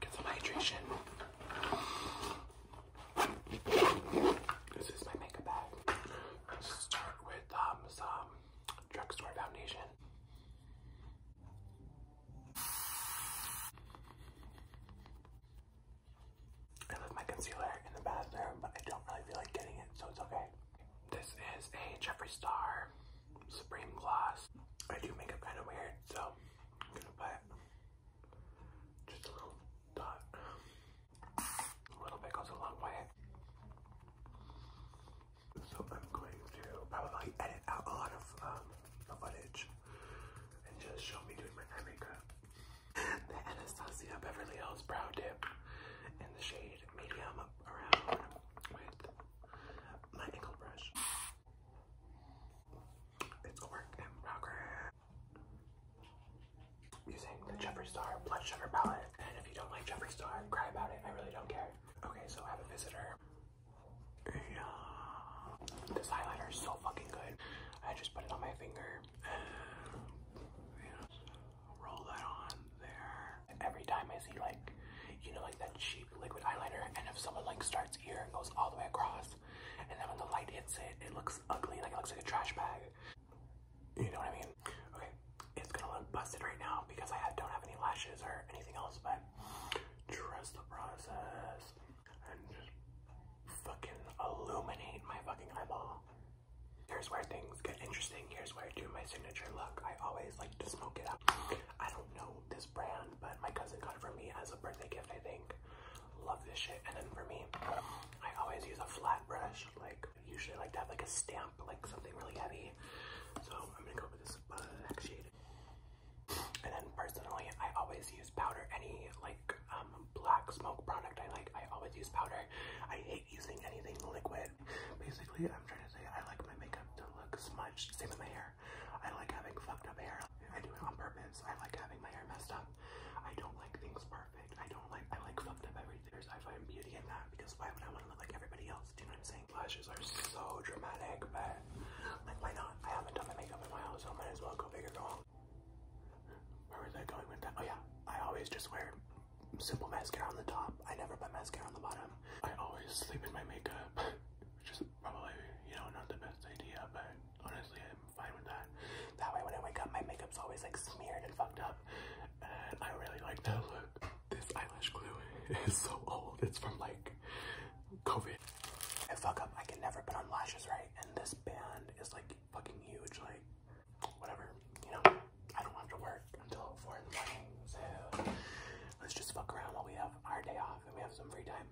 Get some hydration. This is my makeup bag. Let's start with um, some drugstore foundation. I left my concealer in the bathroom, but I don't really feel like getting it, so it's okay. This is a Jeffree Star Supreme gloss. I do makeup kind of weird, so I'm gonna put just a little dot. A little bit goes a long way. So I'm going to probably edit out a lot of um, the footage and just show me doing my hair makeup. The Anastasia Beverly Hills Brow Dip in the shade Medium Around with my angle brush. It's a work in progress. Using the Jeffree Star blood Sugar Palette. And if you don't like Jeffree Star, cry about it. I really don't care. Okay, so I have a visitor. Yeah. This highlighter is so fucking good. I just put it on my finger. And Roll that on there every time I see like, you know, like that cheap liquid eyeliner, and if someone like starts here and goes all the way across, and then when the light hits it, it looks ugly, like it looks like a trash bag. You know what I mean? Okay, it's gonna look busted right now because I don't have any lashes or anything else, but trust the process and just fucking illuminate my fucking eyeball. Here's where things get interesting. Here's where I do my signature look. I always like to smoke it out. I don't know this brand, but my cousin got it for me as a birthday gift, I think. Love this shit. And then for me, I always use a flat brush. Like, usually I like to have like a stamp, like something really heavy. So I'm gonna go with this black uh, shade. And then personally, I always use powder. Any like um, black smoke product I like, I always use powder. I hate using anything liquid. Basically, I'm trying to say I like my makeup to look smudged. Same with my hair. I like having fucked up hair. I do it on purpose. I like having my hair messed up. I don't like things perfect. I don't like, I like fucked up everything. I find beauty in that because why would I want to look like everybody else? Do you know what I'm saying? Flashes are so dramatic, but like, why not? I haven't done my makeup in a while, so might as well go bigger, go all. Where was I going with that? Oh yeah, I always just wear simple mascara on the top. I never put mascara on the bottom. I always sleep in my makeup, which is probably, you know, not the best idea, but honestly, I'm fine with that. That way, when I wake up, my makeup's always like smeared and fucked up, and I really like that look. This eyelash glue is so old. It's from like COVID. I fuck up. I can never put on lashes right, and this band is like fucking huge. Like, whatever, you know, I don't have to work until 4 in the morning, so let's just fuck around while we have our day off and we have some free time.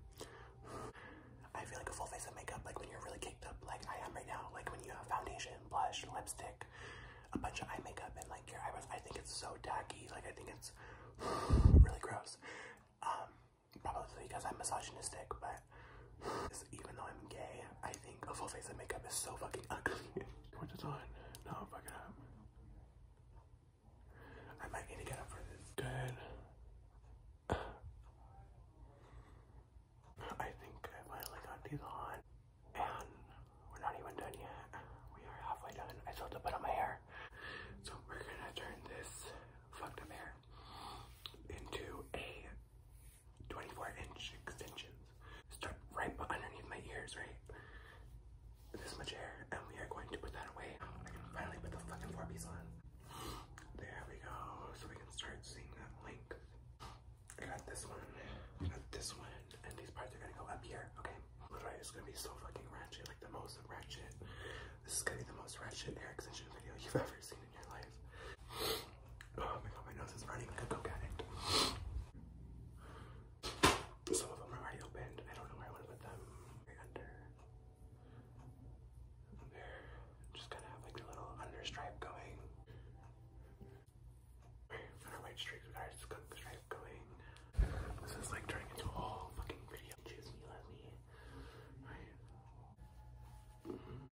I feel like a full face of makeup, like when you're really kicked up, like I am right now, like when you have foundation, blush, lipstick, a bunch of eye makeup, and like your eyebrows, I think it's so tacky, like I think it's really gross. Um, probably because I'm misogynistic, but even though I'm gay, I think a full face of makeup is so fucking ugly. Quit the line. No, fuck it up. I might need to get up for this. Good. I think I finally got these on. And we're not even done yet. We are halfway done. I still have to put on my hair. So we're gonna turn this fucked up hair into a 24 inch extensions. Start right underneath my ears, right? This much hair, and we are going to put that away. I can finally put the fucking four piece on. There we go, so we can start seeing that length. I got this one, I got this one, and these parts are gonna go up here, okay? Literally, it's gonna be so fucking ratchet, like the most ratchet. This is gonna be the most ratchet hair extension video you've ever seen. Oh my god, my nose is running like a coke addict. Some of them are already opened. I don't know where I want to them. Just gotta have like a little under going. white streaks, we got going. This is like turning into a whole fucking video. Choose me, let me. Mm-hmm.